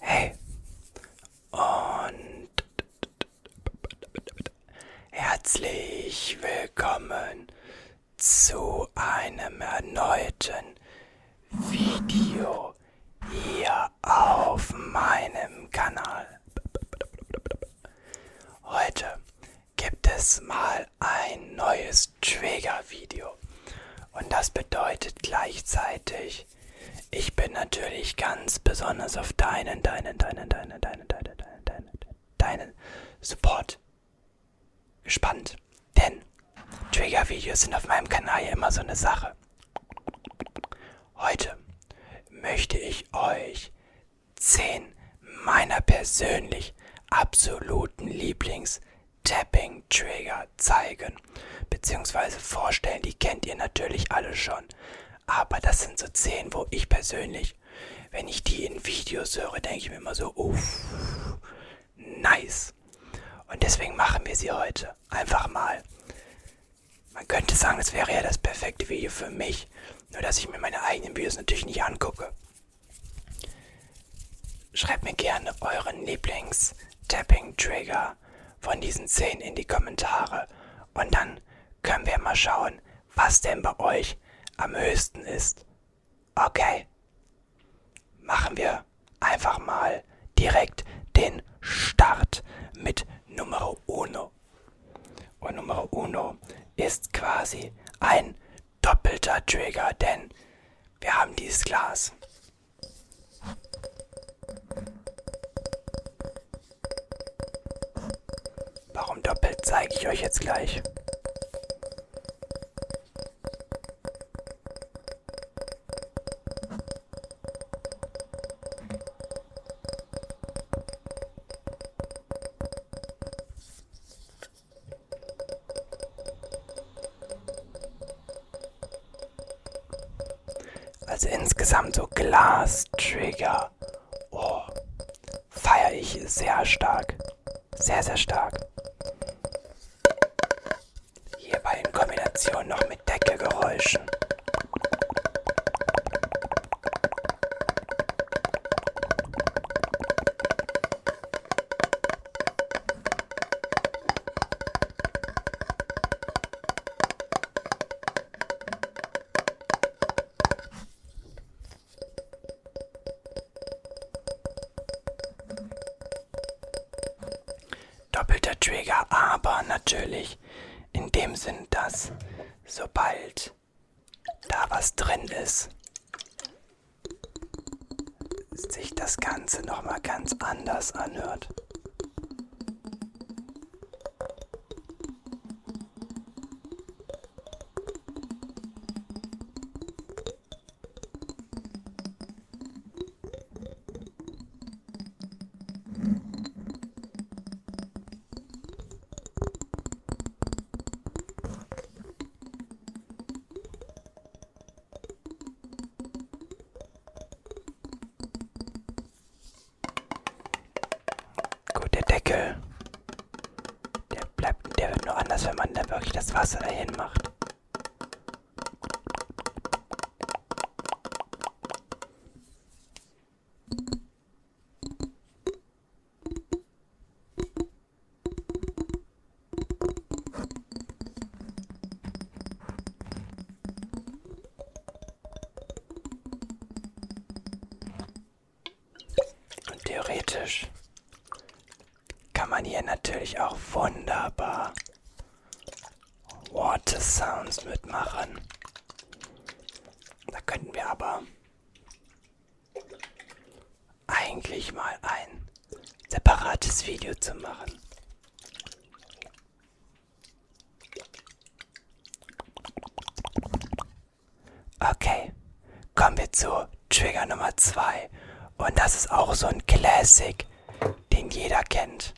Hey und herzlich willkommen zu einem erneuten Video hier auf meinem Kanal. Heute gibt es mal ein neues Trigger-Video und das bedeutet gleichzeitig ich bin natürlich ganz besonders auf deinen, deinen, deinen, deinen, deinen, deinen, deinen, deinen, deinen Support gespannt. Denn Trigger-Videos sind auf meinem Kanal ja immer so eine Sache. Heute möchte ich euch 10 meiner persönlich absoluten Lieblings Tapping-Trigger zeigen bzw. vorstellen. Die kennt ihr natürlich alle schon. Aber das sind so 10, wo ich persönlich, wenn ich die in Videos höre, denke ich mir immer so, uff, nice. Und deswegen machen wir sie heute. Einfach mal. Man könnte sagen, das wäre ja das perfekte Video für mich. Nur dass ich mir meine eigenen Videos natürlich nicht angucke. Schreibt mir gerne euren Lieblings- Tapping Trigger von diesen 10 in die Kommentare und dann können wir mal schauen, was denn bei euch am höchsten ist. Okay, machen wir einfach mal direkt den Start mit Numero Uno. Und Numero Uno ist quasi ein doppelter Trigger, denn wir haben dieses Glas. Warum doppelt zeige ich euch jetzt gleich. Also insgesamt so Glastrigger. Oh, feiere ich sehr stark. Sehr, sehr stark. Hierbei in Kombination noch mit Deckelgeräuschen. Doppelter Trigger, aber natürlich in dem Sinn, dass sobald da was drin ist, sich das Ganze nochmal ganz anders anhört. Gut, der Deckel. Der bleibt, der wird nur anders, wenn man da wirklich das Wasser dahin macht. Und theoretisch kann man hier natürlich auch wunderbar Water Sounds mitmachen. Da könnten wir aber eigentlich mal ein separates Video zu machen. Okay, kommen wir zu Trigger Nummer 2. Und das ist auch so ein Classic, den jeder kennt.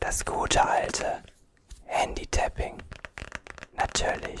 Das gute alte Handy-Tapping. Natürlich.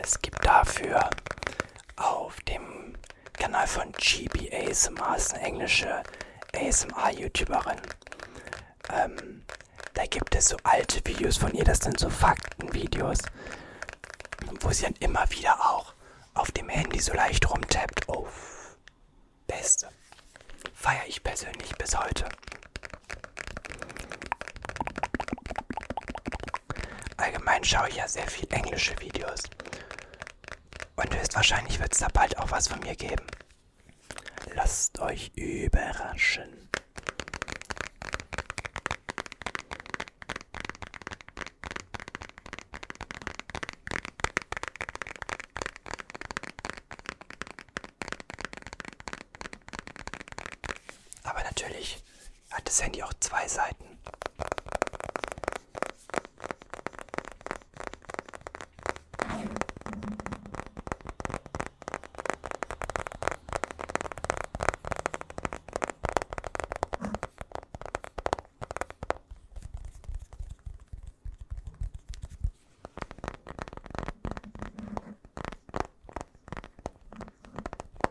Es gibt dafür auf dem Kanal von GB ASMR, ist eine englische ASMR-YouTuberin. Ähm, da gibt es so alte Videos von ihr, das sind so Faktenvideos, wo sie dann immer wieder auch auf dem Handy so leicht rumtappt. Oh, beste. Feiere ich persönlich bis heute. Allgemein schaue ich ja sehr viel englische Videos. Und höchstwahrscheinlich wird es da bald auch was von mir geben. Lasst euch überraschen. Aber natürlich hat das Handy auch zwei Seiten.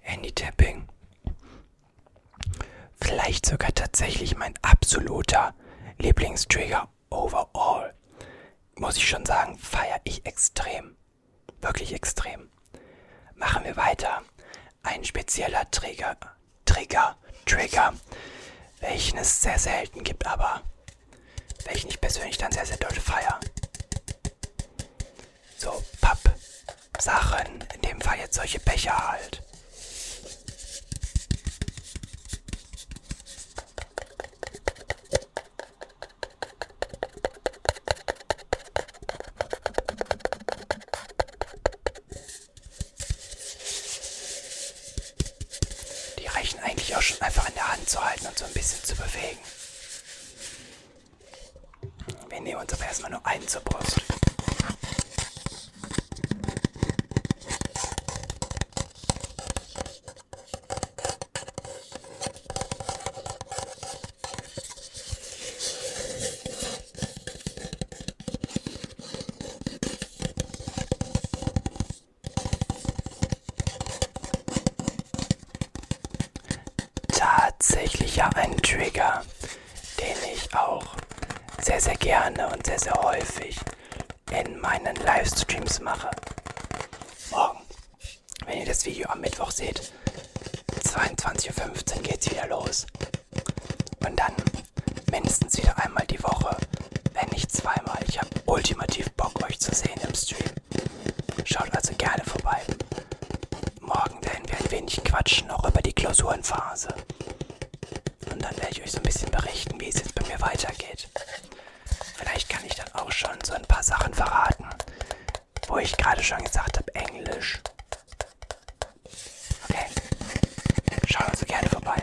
Handy-Tapping. Vielleicht sogar tatsächlich mein absoluter Lieblingstrigger overall. Muss ich schon sagen, feiere ich extrem. Wirklich extrem. Machen wir weiter. Ein spezieller Trigger, Trigger, Trigger, welchen es sehr selten gibt, aber welchen ich persönlich dann sehr, sehr doll feiere so Pappsachen. In dem Fall jetzt solche Becher halt. Die reichen eigentlich auch schon einfach in der Hand zu halten und so ein bisschen zu bewegen. Wir nehmen uns aber erstmal nur einen zur Brust tatsächlich ja ein Trigger, den ich auch sehr, sehr gerne und sehr, sehr häufig in meinen Livestreams mache. Morgen, wenn ihr das Video am Mittwoch seht, 22.15 Uhr geht's wieder los. Und dann mindestens wieder einmal die Woche, wenn nicht zweimal. Ich habe ultimativ Bock, euch zu sehen im Stream. Schaut also gerne vorbei. Morgen werden wir ein wenig quatschen, auch über die Klausurenphase. Und dann werde ich euch so ein bisschen berichten, wie es jetzt bei mir weitergeht. Vielleicht kann ich dann auch schon so ein paar Sachen verraten, wo ich gerade schon gesagt habe, Englisch. Okay. Schaut also gerne vorbei.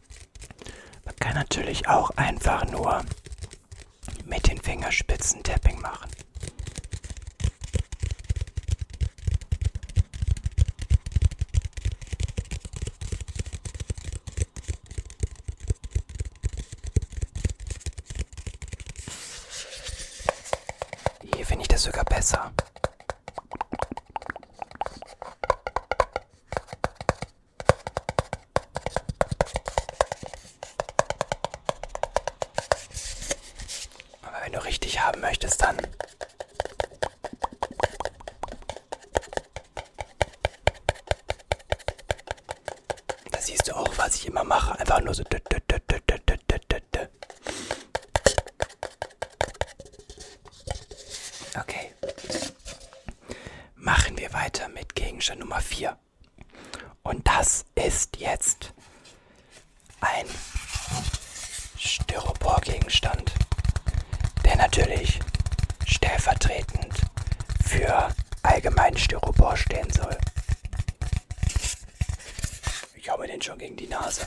Man kann natürlich auch einfach nur mit den Fingerspitzen Tapping machen. Hier finde ich das sogar besser. Aber wenn du richtig haben möchtest, dann... Da siehst du auch, was ich immer mache. Einfach nur so... Okay. Okay. Machen wir weiter mit Gegenstand Nummer 4. Und das ist jetzt ein Styroporgegenstand, der natürlich stellvertretend für allgemein Styropor stehen soll. Ich hau mir den schon gegen die Nase.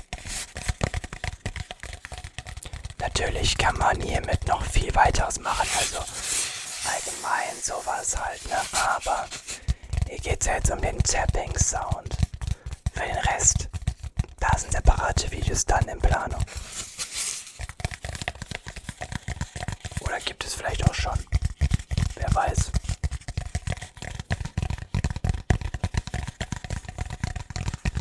Natürlich kann man hiermit noch viel weiteres machen, also allgemein sowas halt, ne? Aber hier geht es ja jetzt um den Tapping-Sound. Für den Rest, da sind separate Videos dann in Planung. Oder gibt es vielleicht auch schon? Wer weiß.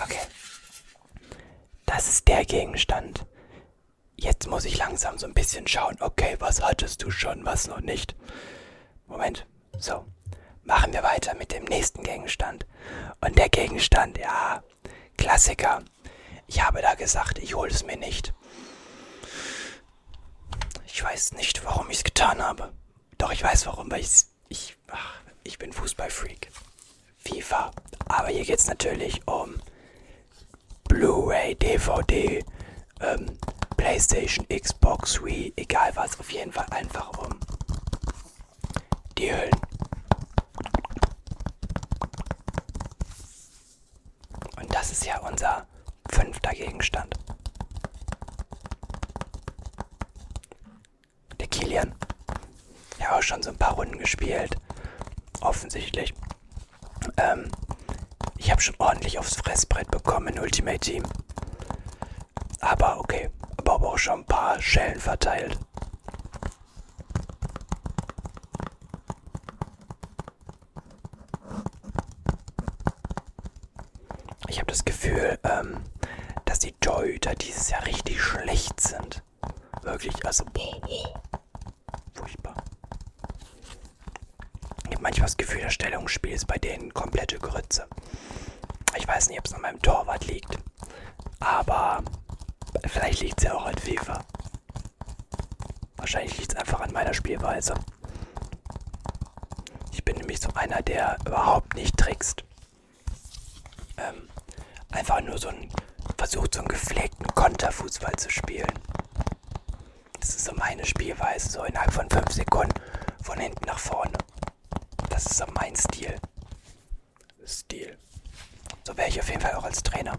Okay. Das ist der Gegenstand. Jetzt muss ich langsam so ein bisschen schauen. Okay, was hattest du schon, was noch nicht? Moment. So. Machen wir weiter mit dem nächsten Gegenstand. Und der Gegenstand, ja, der Klassiker. Ich habe da gesagt, ich hole es mir nicht. Ich weiß nicht, warum ich es getan habe. Doch ich weiß warum, weil ich ich ach, ich bin Fußballfreak. FIFA. Aber hier geht es natürlich um Blu-ray, DVD, ähm, PlayStation, Xbox, Wii, egal was. Auf jeden Fall einfach um die Höllen. Und das ist ja unser fünfter Gegenstand. Der Kilian. Ja, auch schon so ein paar Runden gespielt. Offensichtlich. Ähm, ich habe schon ordentlich aufs Fressbrett bekommen in Ultimate Team. Aber okay, aber auch schon ein paar Schellen verteilt. Ich habe das Gefühl, ähm, dass die Torhüter dieses Jahr richtig schlecht sind. Wirklich, also boah, boah. furchtbar. Ich habe manchmal das Gefühl, das Stellungsspiel ist bei denen komplette Grütze. Ich weiß nicht, ob es an meinem Torwart liegt. Aber vielleicht liegt es ja auch an FIFA. Wahrscheinlich liegt es einfach an meiner Spielweise. Ich bin nämlich so einer, der überhaupt nicht trickst. Ähm, einfach nur so ein versucht, so einen gepflegten Konterfußball zu spielen. Das ist so meine Spielweise, so innerhalb von 5 Sekunden von hinten nach vorne. Das ist so mein Stil. Stil. So wäre ich auf jeden Fall auch als Trainer.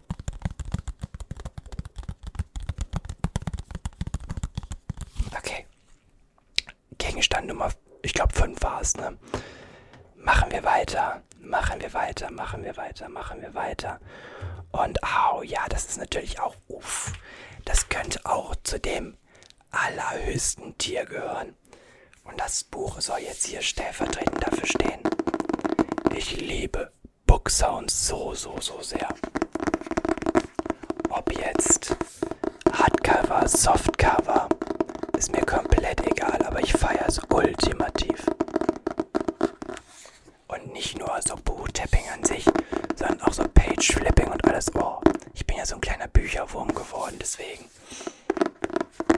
Okay. Gegenstand Nummer, ich glaube 5 war es, ne? Machen wir weiter, machen wir weiter, machen wir weiter, machen wir weiter. Und au, oh, ja, das ist natürlich auch, uff, das könnte auch zu dem allerhöchsten Tier gehören. Und das Buch soll jetzt hier stellvertretend dafür stehen. Ich liebe Book Sounds so, so, so sehr. Ob jetzt Hardcover, Softcover, ist mir komplett egal, aber ich feiere es ultimativ. Und nicht nur so Boot-Tapping an sich, sondern auch so Page-Flipping und alles. Oh, ich bin ja so ein kleiner Bücherwurm geworden, deswegen.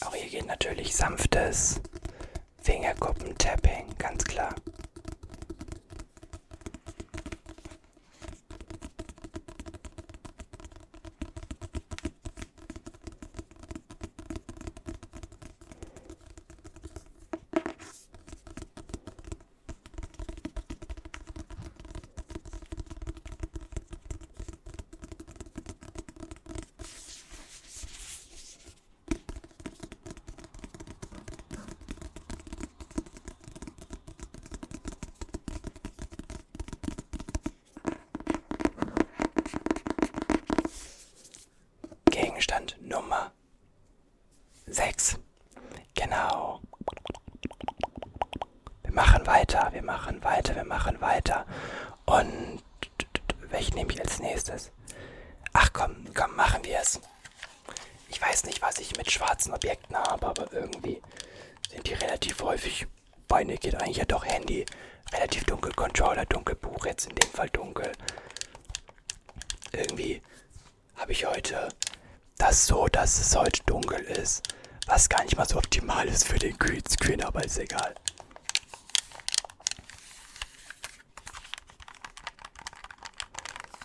Auch hier geht natürlich sanftes Fingerkuppen-Tapping, ganz klar. Gegenstand Nummer sechs. Genau wir machen weiter, wir machen weiter, wir machen weiter. Und welchen nehme ich als nächstes? Ach komm, komm, machen wir es. Ich weiß nicht, was ich mit schwarzen Objekten habe, aber irgendwie sind die relativ häufig. Bei mir geht eigentlich ja doch Handy. Relativ dunkel, Controller, dunkel, Buch, jetzt in dem Fall dunkel. Irgendwie habe ich heute das so, dass es heute dunkel ist. Was gar nicht mal so optimal ist für den Greenscreen, aber ist egal.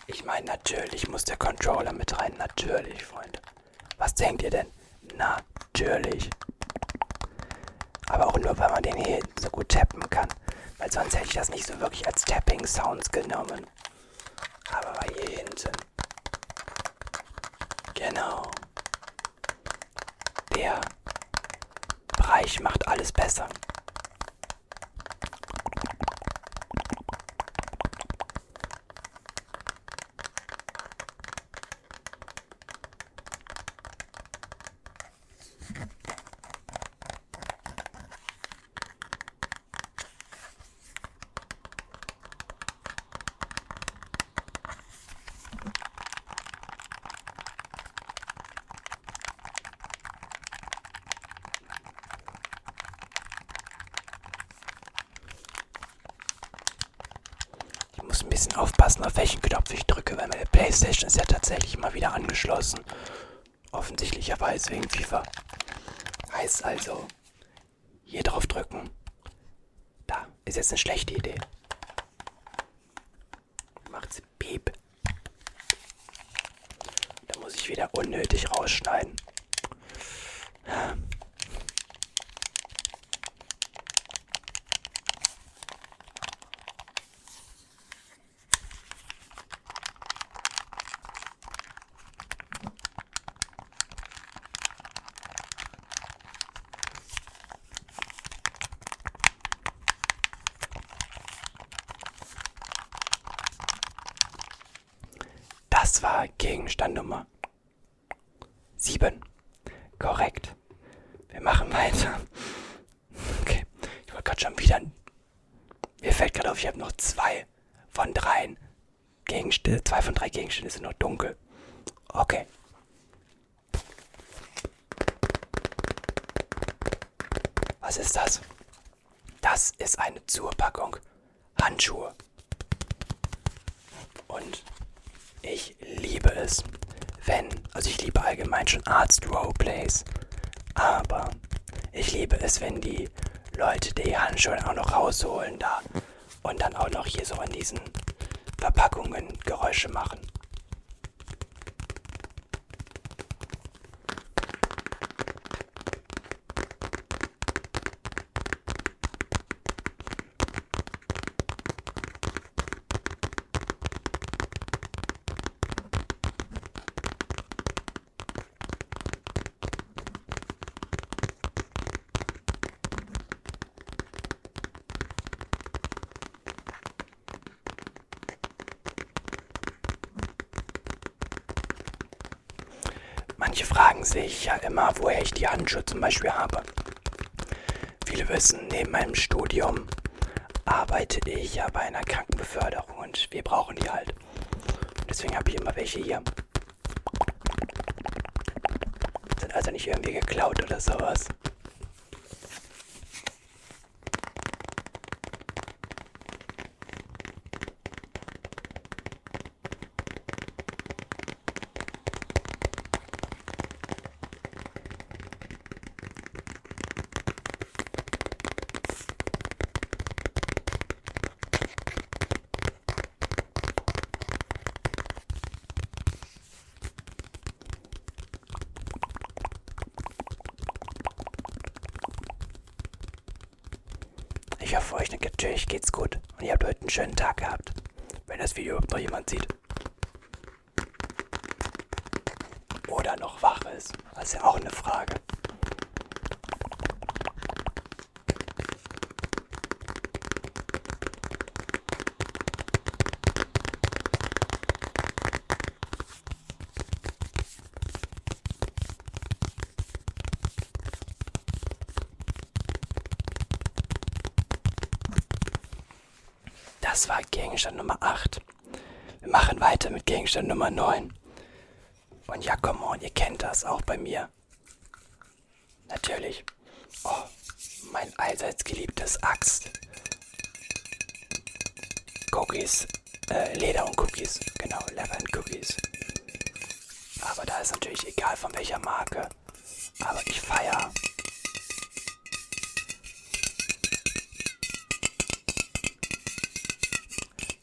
Ich meine, natürlich muss der Controller mit rein. Natürlich, Freunde. Was denkt ihr denn? Natürlich. Aber auch nur, weil man den hier so gut tappen kann. Weil sonst hätte ich das nicht so wirklich als Tapping-Sounds genommen. Aber hier hinten. Genau. Der Bereich macht alles besser. Ich muss ein bisschen aufpassen, auf welchen Knopf ich drücke, weil meine Playstation ist ja tatsächlich mal wieder angeschlossen. Offensichtlicherweise wegen FIFA. Heißt also, hier drauf drücken. Da. Ist jetzt eine schlechte Idee. Macht's piep. Da muss ich wieder unnötig rausschneiden. Das war Gegenstand Nummer 7. Korrekt. Wir machen weiter. Okay. Ich wollte gerade schon wieder. Mir fällt gerade auf, ich habe noch zwei von dreien Gegenstände, zwei von drei Gegenständen sind noch dunkel. Okay. Was ist das? Das ist eine Zurpackung Handschuhe. Und ich liebe es, wenn, also ich liebe allgemein schon Arzt Roleplays, aber ich liebe es, wenn die Leute die Handschuhe auch noch rausholen da und dann auch noch hier so an diesen Verpackungen Geräusche machen. Manche fragen sich ja immer, woher ich die Handschuhe zum Beispiel habe. Viele wissen, neben meinem Studium arbeite ich ja bei einer Krankenbeförderung und wir brauchen die halt. Und deswegen habe ich immer welche hier. Sind also nicht irgendwie geklaut oder sowas. Ich hoffe, euch natürlich geht's gut und ihr habt heute einen schönen Tag gehabt, wenn das Video überhaupt noch jemand sieht. Oder noch wach ist. Das ist ja auch eine Frage. Das war Gegenstand Nummer 8. Wir machen weiter mit Gegenstand Nummer 9. Und ja, komm on, ihr kennt das auch bei mir. Natürlich. Oh, mein allseits geliebtes Axt. Cookies. Äh, Leder und Cookies. Genau, Leather und Cookies. Aber da ist natürlich egal von welcher Marke. Aber ich feiere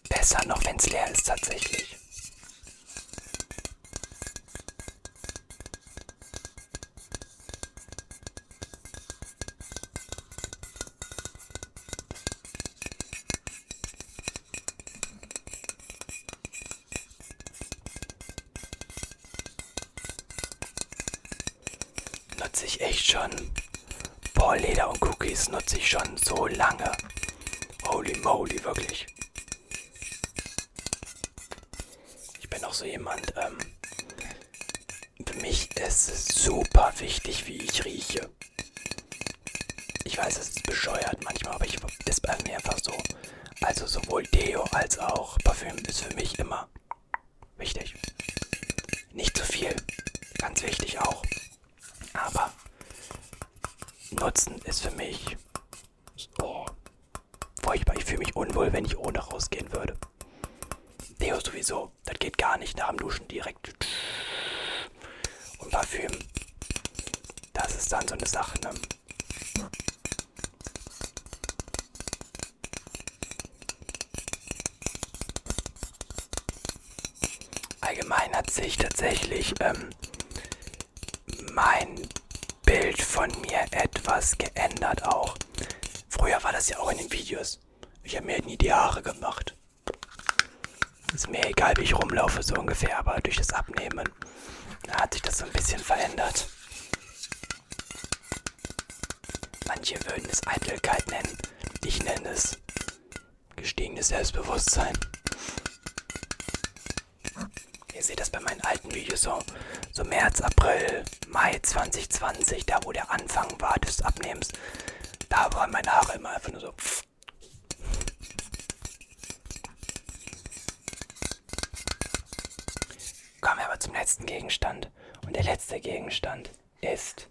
besser, noch wenn es leer ist tatsächlich. Nutze ich echt schon. Boah, Leder und Cookies nutze ich schon so lange. Holy moly, wirklich. Ich bin auch so jemand, ähm, für mich ist es super wichtig, wie ich rieche. Ich weiß, es ist bescheuert manchmal, aber ich ist bei mir einfach so. Also sowohl Deo als auch Parfüm ist für mich immer wichtig. Nicht zu viel. Ganz wichtig auch. Aber Nutzen ist für mich. Oh, furchtbar. Ich fühle mich unwohl, wenn ich ohne rausgehen würde. Deo sowieso. Das geht gar nicht nach dem Duschen direkt. Und Parfüm. Das ist dann so eine Sache, ne? allgemein hat sich tatsächlich ähm, mein Bild von mir etwas geändert auch. Früher war das ja auch in den Videos. Ich habe mir halt nie die Haare gemacht. Ist mir egal, wie ich rumlaufe, so ungefähr, aber durch das Abnehmen hat sich das so ein bisschen verändert. Manche würden es Eitelkeit nennen. Ich nenne es gestiegenes Selbstbewusstsein. Ihr seht das bei meinen alten Videos so, so März, April, Mai 2020, da wo der Anfang war des Abnehmens. Da waren meine Haare immer einfach nur so. Kommen wir aber zum letzten Gegenstand. Und der letzte Gegenstand ist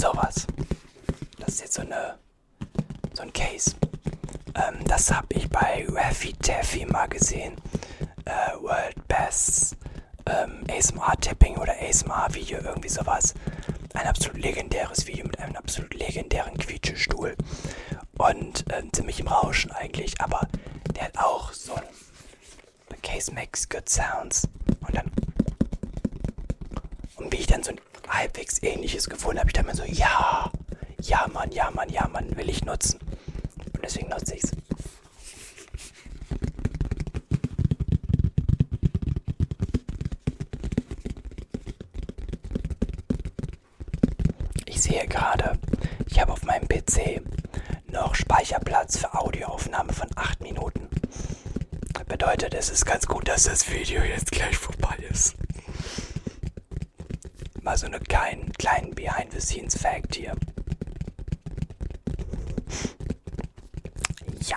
Sowas. Das ist jetzt so, eine, so ein Case. Ähm, das habe ich bei Raffy Taffy mal gesehen. Äh, World Best ähm, ASMR-Tipping oder ASMR-Video, irgendwie sowas. Ein absolut legendäres Video mit einem absolut legendären Quietschestuhl. Und äh, ziemlich im Rauschen eigentlich, aber der hat auch so ein The case makes good sounds. Und dann. Und wie ich dann so ein halbwegs ähnliches gefunden habe, ich dann mir so, ja, ja, Mann, ja, Mann, ja, Mann, will ich nutzen. Und deswegen nutze ich es. Ich sehe gerade, ich habe auf meinem PC noch Speicherplatz für Audioaufnahme von 8 Minuten. Bedeutet, es ist ganz gut, dass das Video jetzt gleich vorbei ist. Mal so einen kleinen, kleinen Behind-the-Scenes-Fact hier. Ja.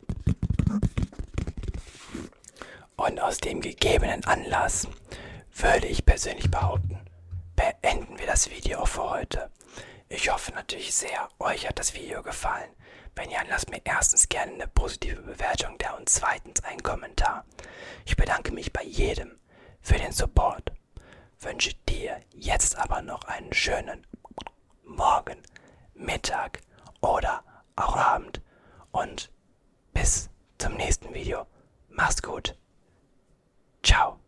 Und aus dem gegebenen Anlass würde ich persönlich behaupten, beenden wir das Video auch für heute. Ich hoffe natürlich sehr, euch hat das Video gefallen. Wenn ja, lasst mir erstens gerne eine positive Bewertung da und zweitens einen Kommentar. Ich bedanke mich bei jedem für den Support. Wünsche dir jetzt aber noch einen schönen Morgen, Mittag oder auch Abend. Und bis zum nächsten Video. Mach's gut. Ciao.